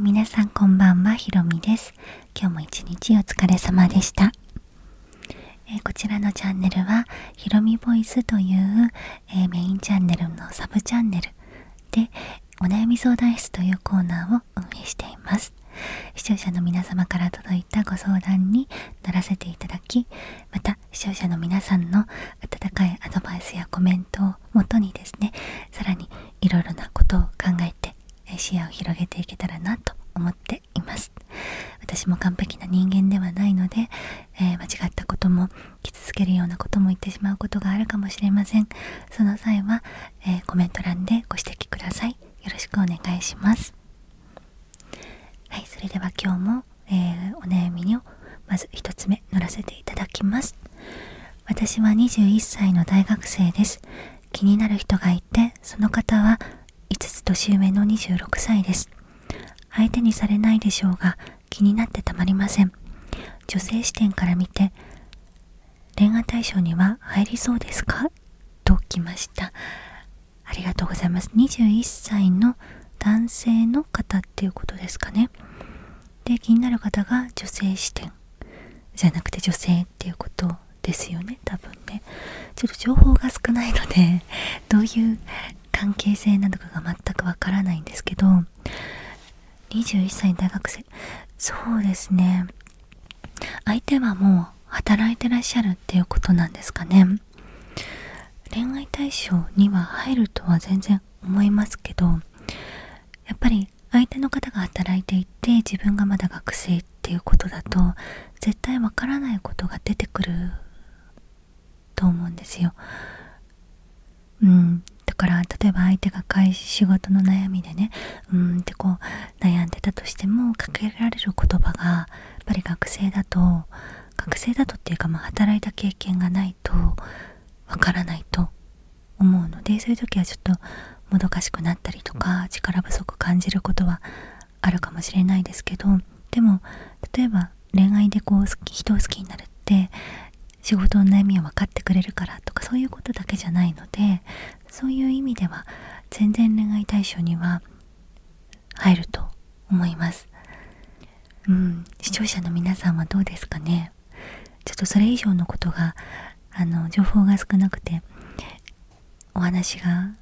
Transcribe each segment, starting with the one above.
皆さんこんばんはひろみです今日も一日お疲れ様でした、こちらのチャンネルはひろみボイスという、メインチャンネルのサブチャンネルでお悩み相談室というコーナーを運営しています視聴者の皆様から届いたご相談に乗らせていただきまた視聴者の皆さんの温かいアドバイスやコメントをもとにですねさらにいろなことを考えて視野を広げていけたらなと思っています私も完璧な人間ではないので、え間違ったことも傷つけるようなことも言ってしまうことがあるかもしれませんその際は、えコメント欄でご指摘くださいよろしくお願いしますはいそれでは今日も、えお悩みをまず1つ目乗らせていただきます私は21歳の大学生です気になる人がいてその方は5つ年上の26歳です相手にされないでしょうが気になってたまりません女性視点から見て恋愛対象には入りそうですかと来ましたありがとうございます21歳の男性のっていうことですかねで気になる方が女性視点じゃなくて女性っていうことですよね多分ねちょっと情報が少ないので どういう関係性なのかが全くわからないんですけど21歳大学生そうですね相手はもう働いてらっしゃるっていうことなんですかね恋愛対象には入るとは全然思いますけどやっぱり相手の方が働いていて自分がまだ学生っていうことだと絶対わからないことが出てくると思うんですよ。うんだから例えば相手が仕事の悩みでねうんってこう悩んでたとしてもかけられる言葉がやっぱり学生だと学生だとっていうかまあ働いた経験がないと分からないと思うのでそういう時はちょっともどかしくなったりとか力不足感じることはあるかもしれないですけどでも例えば恋愛でこう人を好きになるって仕事の悩みを分かってくれるからとかそういうことだけじゃないのでそういう意味では全然恋愛対象には入ると思います。うん、視聴者の皆さんはどうですかねちょっとそれ以上のことがあの情報が少なくてお話が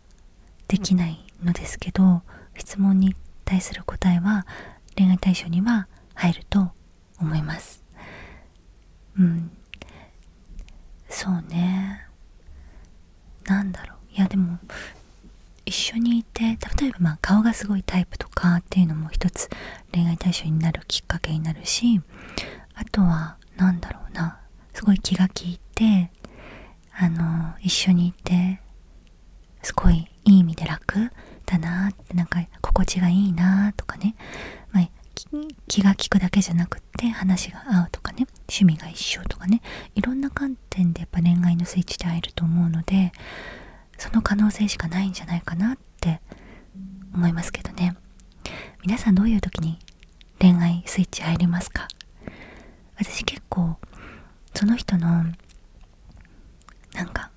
できないのですけど質問に対する答えは恋愛対象には入ると思いますうんそうねなんだろういやでも一緒にいて例えばまあ顔がすごいタイプとかっていうのも一つ恋愛対象になるきっかけになるしあとは何だろうなすごい気が利いてあの一緒にいてすごいいい意味で楽だなってなんか心地がいいなとかね、ま気が利くだけじゃなくって話が合うとかね趣味が一緒とかねいろんな観点でやっぱ恋愛のスイッチで会えると思うのでその可能性しかないんじゃないかなって思いますけどね皆さんどういう時に恋愛スイッチ入りますか私結構その人のなんか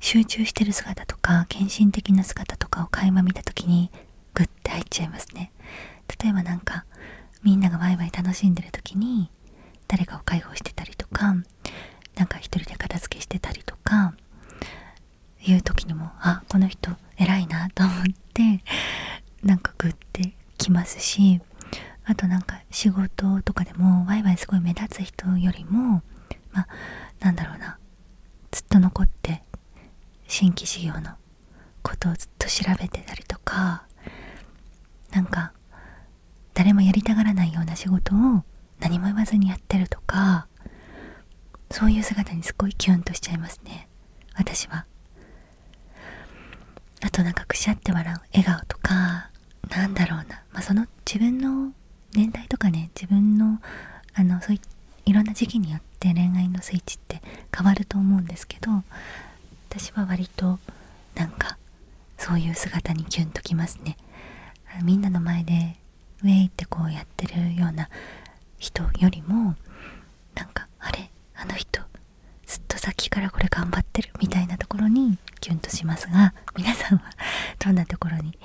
集中してる姿とか献身的な姿とかを垣間見た時にグッて入っちゃいますね例えばなんかみんながワイワイ楽しんでる時に誰かを介抱してたりとかなんか一人で片付けしてたりとかいう時にもあこの人偉いなと思ってなんかグッてきますしあとなんか仕事とかでもワイワイすごい目立つ人よりもまあなんだろうなずっと残って新規事業のことをずっと調べてたりとかなんか誰もやりたがらないような仕事を何も言わずにやってるとかそういう姿にすごいキュンとしちゃいますね私はあとなんかくしゃって笑う笑顔とかなんだろうな、まあ、その自分の年代とかね自分のあのそういいろんな時期によって恋愛のスイッチって変わると思うんですけど私は割となんかそういう姿にキュンときますねみんなの前でウェイってこうやってるような人よりもなんかあれあの人ずっとさっきからこれ頑張ってるみたいなところにキュンとしますが皆さんはどんなところに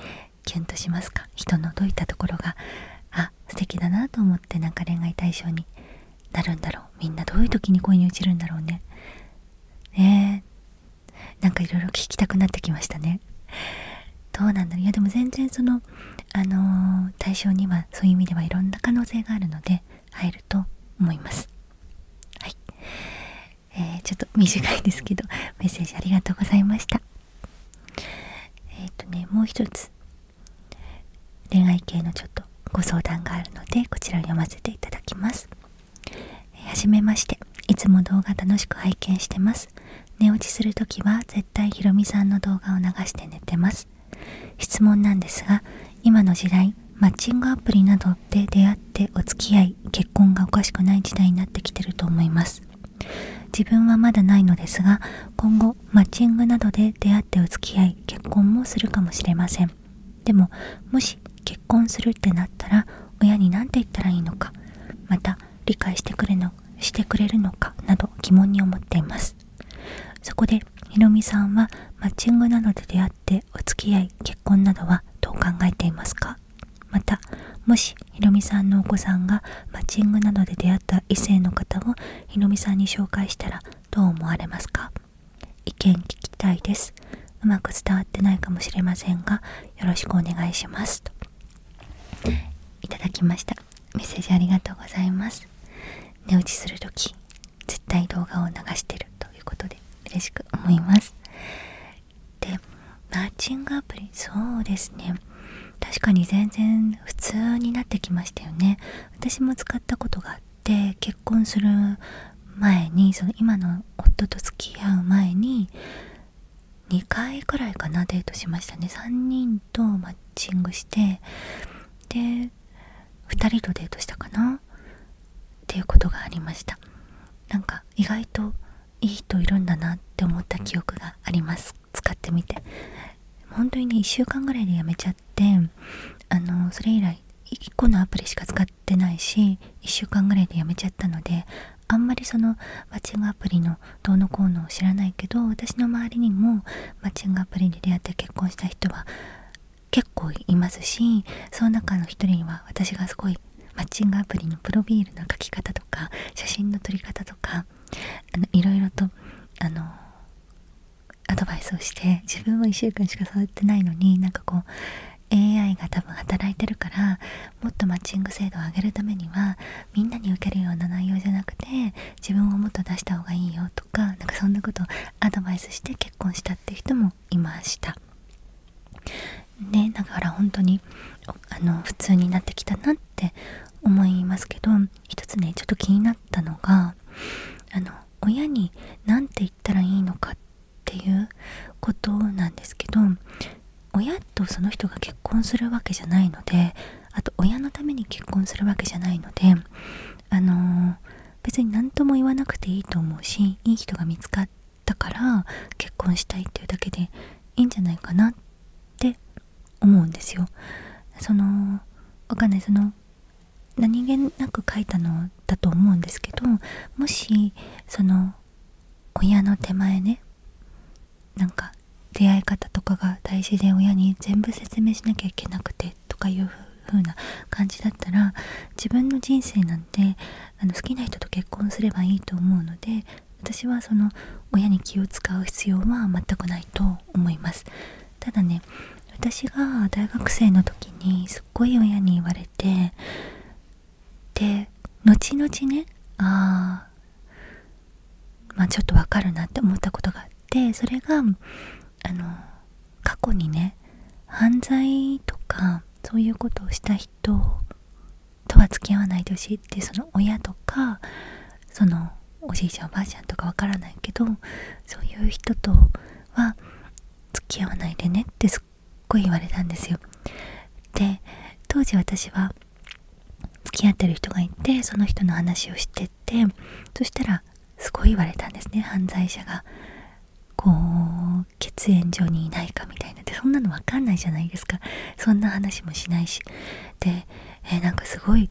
キュンとしますか人のどういったところがあ素敵だなと思ってなんか恋愛対象になるんだろうみんなどういう時に恋に落ちるんだろうねえなんかいろいろ聞きたくなってきましたねどうなんだろういやでも全然そのあの対象にはそういう意味ではいろんな可能性があるので入ると思いますはい、えー、ちょっと短いですけどメッセージありがとうございましたえっ、とねもう一つ恋愛系のちょっとご相談があるのでこちらを読ませていただきますはじめましていつも動画楽しく拝見してます寝落ちするとは絶対ひろみさんの動画を流して寝てます質問なんですが今の時代マッチングアプリなどで出会ってお付き合い結婚がおかしくない時代になってきてると思います自分はまだないのですが今後マッチングなどで出会ってお付き合い結婚もするかもしれませんでももし結婚するってなったら親に何て言ったらいいのかまた理解してくれのしてくれるのかなど疑問に思っていますそこでひろみさんはマッチングなどで出会ってお付き合い結婚などはどう考えていますかまたもしひろみさんのお子さんがマッチングなどで出会った異性の方をひろみさんに紹介したらどう思われますか意見聞きたいですうまく伝わってないかもしれませんがよろしくお願いしますといただきましたメッセージありがとうございます寝落ちする時、絶対動画を流してるということで嬉しく思いますでマッチングアプリそうですね確かに全然普通になってきましたよね私も使ったことがあって結婚する前にその今の夫と付き合う前に2回くらいかなデートしましたね3人とマッチングしてで2人とデートしたかなっていうことがありましたなんか意外といい人いるんだなって思った記憶があります使ってみて本当にね1週間ぐらいでやめちゃってあのそれ以来1個のアプリしか使っっないし1週間ぐらいでやめちゃったのであんまりそのマッチングアプリのどうのこうのを知らないけど私の周りにもマッチングアプリで出会って結婚した人は結構いますしその中の一人には私がすごいマッチングアプリのプロフィールの書き方とか写真の撮り方とかあのいろいろとあのアドバイスをして自分は1週間しか触ってないのになんかこう AI が多分働いてるからもっとマッチング精度を上げるためにはみんなに受けるような内容じゃなくて自分をもっと出した方がいいよとかなんかそんなことをアドバイスして結婚したっていう人もいました。ね、だから本当にあの普通になってきたなって思いますけど一つねちょっと気になったのがあの親に何て言ったらいいのかっっていうことなんですけど親とその人が結婚するわけじゃないのであと親のために結婚するわけじゃないのであの別に何とも言わなくていいと思うしいい人が見つかったから結婚したいっていうだけでいいんじゃないかなって思うんですよ。そのわかんないその何気なく書いたのだと思うんですけどもしその親の手前ねなんか出会い方とかが大事で親に全部説明しなきゃいけなくてとかいう風な感じだったら自分の人生なんてあの好きな人と結婚すればいいと思うので私はその親に気を使う必要は全くないと思いますただね私が大学生の時にすっごい親に言われてで後々ねあまあちょっとわかるなって思ったことがあってそれがあの過去にね犯罪とかそういうことをした人とは付き合わないでほしいってその親とかそのおじいちゃんおばあちゃんとかわからないけどそういう人とは付き合わないでねってす言われたんですよで当時私は付き合ってる人がいてその人の話をしててそしたらすごい言われたんですね犯罪者がこう血縁上にいないかみたいなでそんなの分かんないじゃないですかそんな話もしないしで、えなんかすごい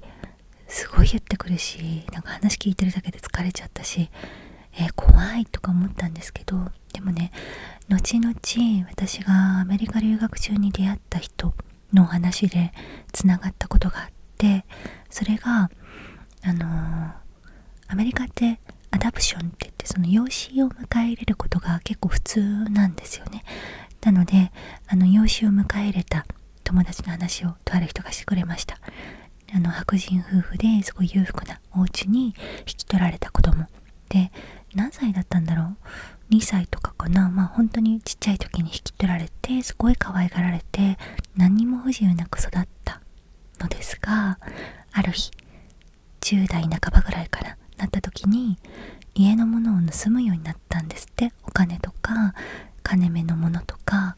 すごい言ってくるしなんか話聞いてるだけで疲れちゃったし、え怖いとか思ったんですけどでもね後々私がアメリカ留学中に出会った人の話でつながったことがあってそれがあのアメリカってアダプションって言ってその養子を迎え入れることが結構普通なんですよねなのであの養子を迎え入れた友達の話をとある人がしてくれましたあの白人夫婦ですごい裕福なお家に引き取られた子供で何歳だったんだろう2歳とかかなまあ本当にちっちゃい時に引き取られてすごい可愛がられて何にも不自由なく育ったのですがある日10代半ばぐらいからなった時に家のものを盗むようになったんですってお金とか金目のものとか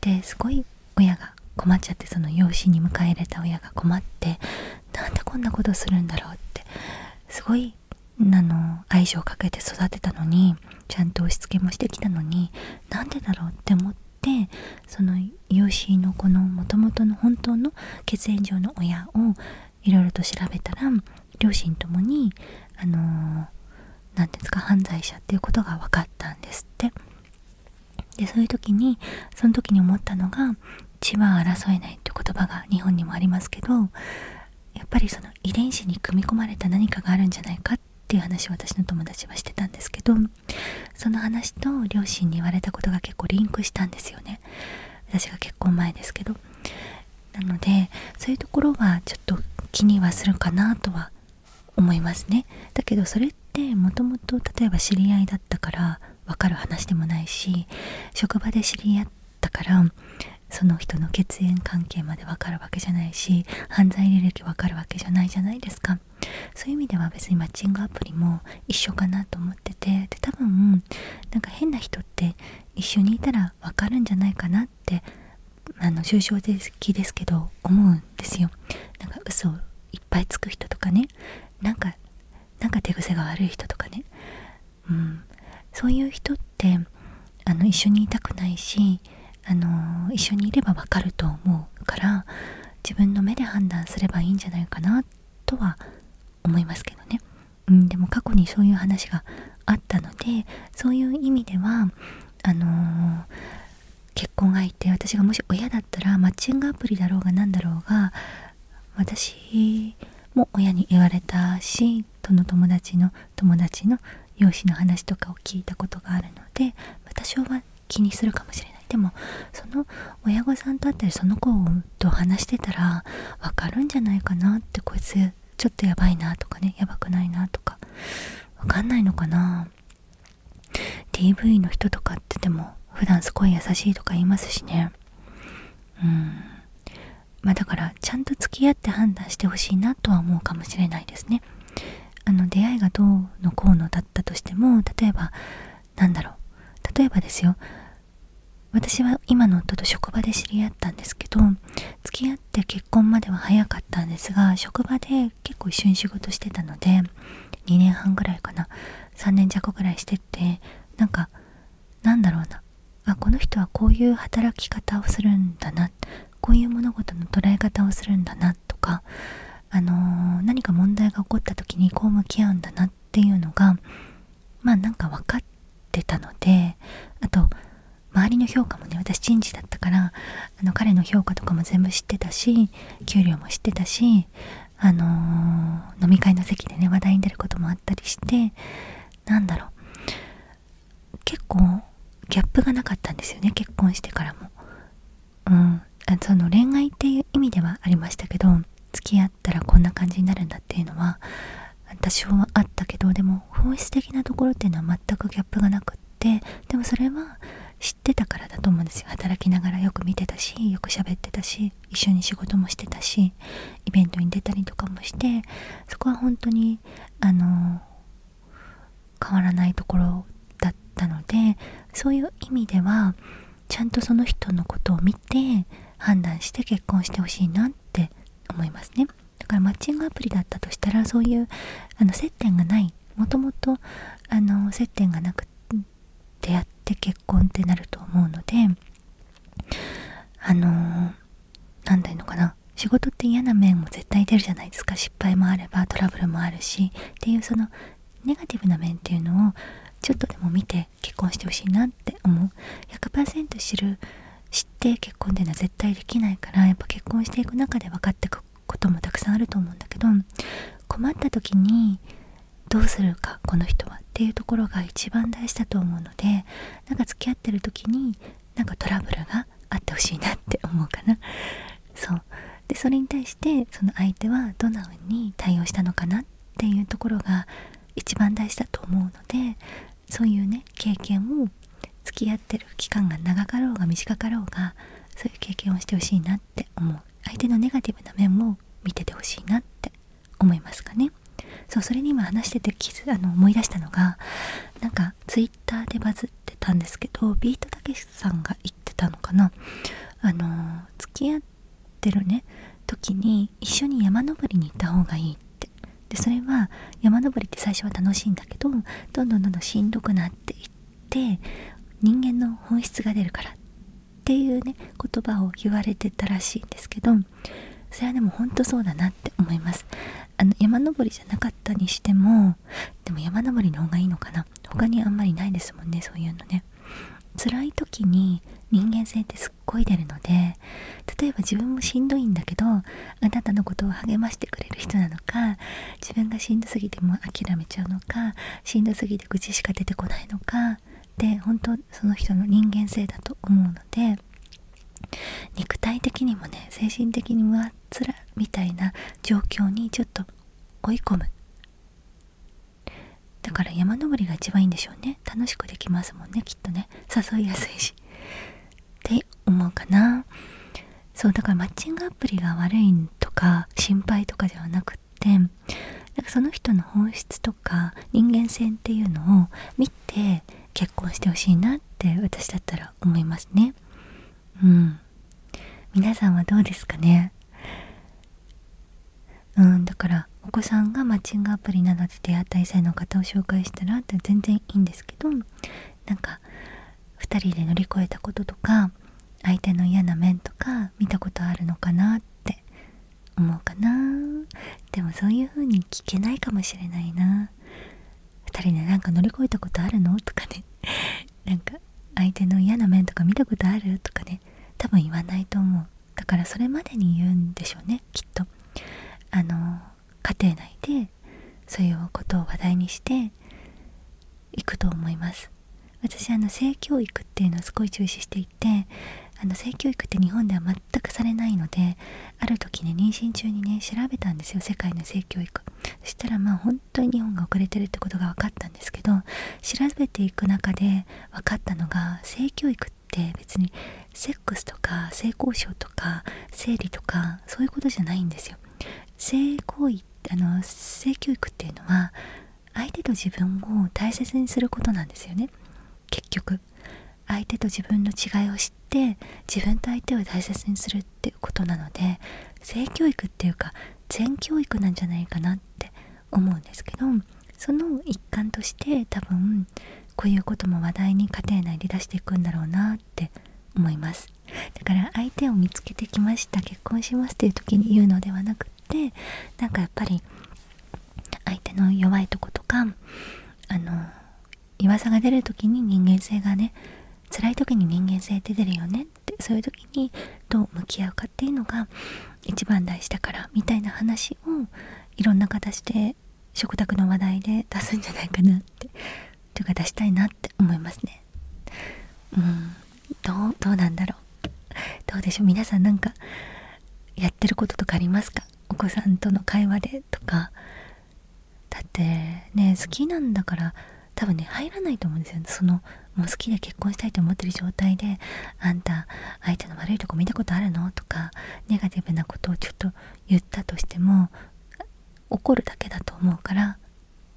ですごい親がが困っちゃってその養子に迎え入れた親が困ってなんでこんなことするんだろうってすごいあの愛情をかけて育てたのにちゃんと押し付けもしてきたのになんでだろうって思ってその養子のこのもともとの本当の血縁上の親をいろいろと調べたら両親ともにあの何、んですか犯罪者っていうことが分かったんですって。でそういう時にその時に思ったのが「血は争えない」って言葉が日本にもありますけどやっぱりその遺伝子に組み込まれた何かがあるんじゃないかっていう話を私の友達はしてたんですけどその話と両親に言われたことが結構リンクしたんですよね私が結婚前ですけどなのでそういうところはちょっと気にはするかなとは思いますねだけどそれってもともと例えば知り合いだったから分かる話でもないし職場で知り合ったからその人の血縁関係まで分かるわけじゃないし犯罪履歴分かるわけじゃないじゃないですかそういう意味では別にマッチングアプリも一緒かなと思っててで多分なんか変な人って一緒にいたら分かるんじゃないかなってあの抽象的ですけど思うんですよなんか嘘いっぱいつく人とかねなんかなんか手癖が悪い人とかね、うん、そういう人ってあの一緒にいたくないしあの一緒にいればわかると思うから自分の目で判断すればいいんじゃないかなとは思いますけどね、うん、でも過去にそういう話があったのでそういう意味ではあの結婚相手私がもし親だったらマッチングアプリだろうが何だろうが私も親に言われたしその友達の友達の容姿の話とかを聞いたことがあるので、私は気にするかもしれないでもその親御さんと会ったりその子と話してたら分かるんじゃないかなってこいつちょっとやばいなとかねやばくないなとか分かんないのかな DV の人とかってでも普段すごい優しいとか言いますしねうんまあだからちゃんと付き合って判断してほしいなとは思うかもしれないですねあの出会いがどうのこうのだったとしても例えばなんだろう例えばですよ私は今の夫と職場で知り合ったんですけど付き合って結婚までは早かったんですが職場で結構一緒に仕事してたので2年半ぐらいかな3年弱ぐらいしてってなんかなんだろうなこの人はこういう働き方をするんだなこういう物事の捉え方をするんだなとか、何か問題が起こった時にこう向き合うんだなっていうのがまあなんか分かってたのであと周りの評価もね私人事だったから彼の評価とかも全部知ってたし給料も知ってたしあの飲み会の席でね話題に出ることもあったりしてなんだろう結構ギャップがなかったんですよね結婚してからも。うんその恋愛っていう意味ではありましたけど付き合ったらこんな感じになるんだっていうのは多少はあったけどでも本質的なところっていうのは全くギャップがなくってでもそれは知たからだと思うんですよ働きながらよく見てたしよく喋ってたし一緒に仕事もしてたしイベントに出たりとかもしてそこは本当にあの変わらないところだったのでそういう意味ではちゃんとその人のことを見て判断して結婚してほしいなって思いますねだからマッチングアプリだったとしたらそういうあの接点がないもともと接点がなく出会って結婚ってなると思うのであの何、ー、だいうのかな仕事って嫌な面も絶対出るじゃないですか失敗もあればトラブルもあるしっていうそのネガティブな面っていうのをちょっとでも見て結婚してほしいなって思う100%知る知って結婚っていうのは絶対できないからやっぱ結婚していく中で分かってくこともたくさんあると思うんだけど困った時にどうするかこの人はっていうところが一番大事だと思うのでなんか付き合ってる時になんかトラブルがあってほしいなって思うかな。そうでそれに対してその相手はどんな風に対応したのかなっていうところが一番大事だと思うのでそういうね経験を付き合ってる期間が長かろうが短かろうがそういう経験をしてほしいなって思う相手のネガティブな面も見ててほしいなって思いますかねそうそれに今話してて気あの思い出したのがなんかツイッターでバズってたんですけどビートたけしさんが言ってたのかなあの付き合ってるね時に一緒に山登りに行った方がいいってでそれは山登りって最初は楽しいんだけどどんどんどんどんしんどくなっていっって人間の本質が出るからっていうね言葉を言われてたらしいんですけどそれはでもほんとそうだなって思いますあの山登りじゃなかったにしてもでも山登りの方がいいのかな他にあんまりないですもんねそういうのね辛い時に人間性ってすっごい出るので例えば自分もしんどいんだけどあなたのことを励ましてくれる人なのか自分がしんどすぎても諦めちゃうのかしんどすぎて愚痴しか出てこないのかで本当その人の人間性だと思うので肉体的にもね精神的にもあっつらみたいな状況にちょっと追い込むだから山登りが一番いいんでしょうね楽しくできますもんねきっとね誘いやすいしって思うかなそうだからマッチングアプリが悪いとか心配とかではなくっくなんかその人の本質とか人間性っていうのを見て結婚してほしいなって私だったら思いますねうん皆さんはどうですかねうんだからお子さんがマッチングアプリなどで出会った異性の方を紹介したらって全然いいんですけどなんか2人で乗り越えたこととか相手の嫌な面とか見たことあるのかなって思うかなでもそういう風に聞けないかもしれないな2人でなんか乗り越えたことあるのとかね なんか相手の嫌な面とか見たことあるとかね多分言わないと思うだからそれまでに言うんでしょうねきっとあの家庭内でそういうことを話題にしていくと思います私性教育っていうのをすごい重視していて性教育って日本では全くされないのである時ね妊娠中にね調べたんですよ世界の性教育そしたらまあ本当に日本が遅れてるってことが分かったんですけど調べていく中で分かったのが性教育って別にセックスとか性交渉とか生理とかそういうことじゃないんですよ性行為性教育っていうのは相手と自分を大切にすることなんですよね結局相手と自分の違いを知って自分と相手を大切にするっていうことなので性教育っていうか全教育なんじゃないかなって思うんですけどその一環として多分こういうことも話題に家庭内で出していくんだろうなって思いますだから相手を見つけてきました結婚しますっていう時に言うのではなくってなんかやっぱり相手の弱いとことかあの弱さが出る時に人間性がね辛い時に人間性って出るよねってそういう時にどう向き合うかっていうのが一番大事だからみたいな話をいろんな形で食卓の話題で出すんじゃないかなってというか出したいなって思いますね。うんどうなんだろうどうでしょう皆さんなんかやってることとかありますかお子さんとの会話でとかだってね好きなんだから多分ね入らないと思うんですよそのもう好きで結婚したいと思ってる状態で「あんた相手の悪いとこ見たことあるの?」とかネガティブなことをちょっと言ったとしても怒るだけだと思うから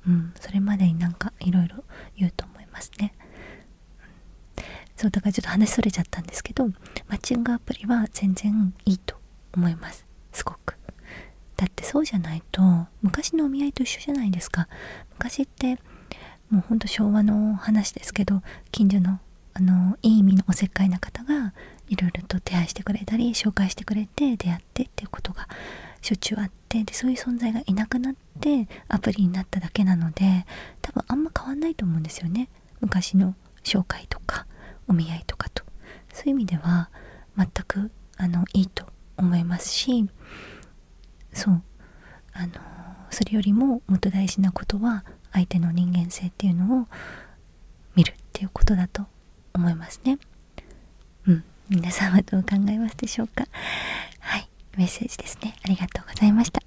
うんそれまでになんかいろいろ言うと思いますね、そうだからちょっと話それちゃったんですけどマッチングアプリは全然いいと思いますすごくだってそうじゃないと昔のお見合いと一緒じゃないですか昔ってもうほんと昭和の話ですけど近所のあのいい意味のおせっかいな方がいろいろと手配してくれたり紹介してくれて出会っっていうことがしょっちゅうあってでそういう存在がいなくなってアプリになっただけなので多分あんま変わんないと思うんですよね昔の紹介とかお見合いとかとそういう意味では全くあのいいと思いますしそうあのそれよりももっと大事なことは相手の人間性っていうのを見るっていうことだと思いますね。うん皆さんはどう考えますでしょうかはいメッセージですねありがとうございました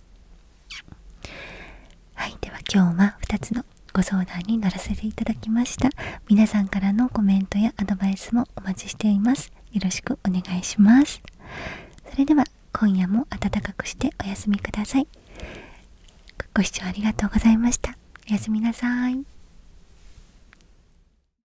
はいでは今日は2つのご相談に乗らせていただきました皆さんからのコメントやアドバイスもお待ちしていますよろしくお願いしますそれでは今夜も暖かくしてお休みくださいご視聴ありがとうございましたおやすみなさい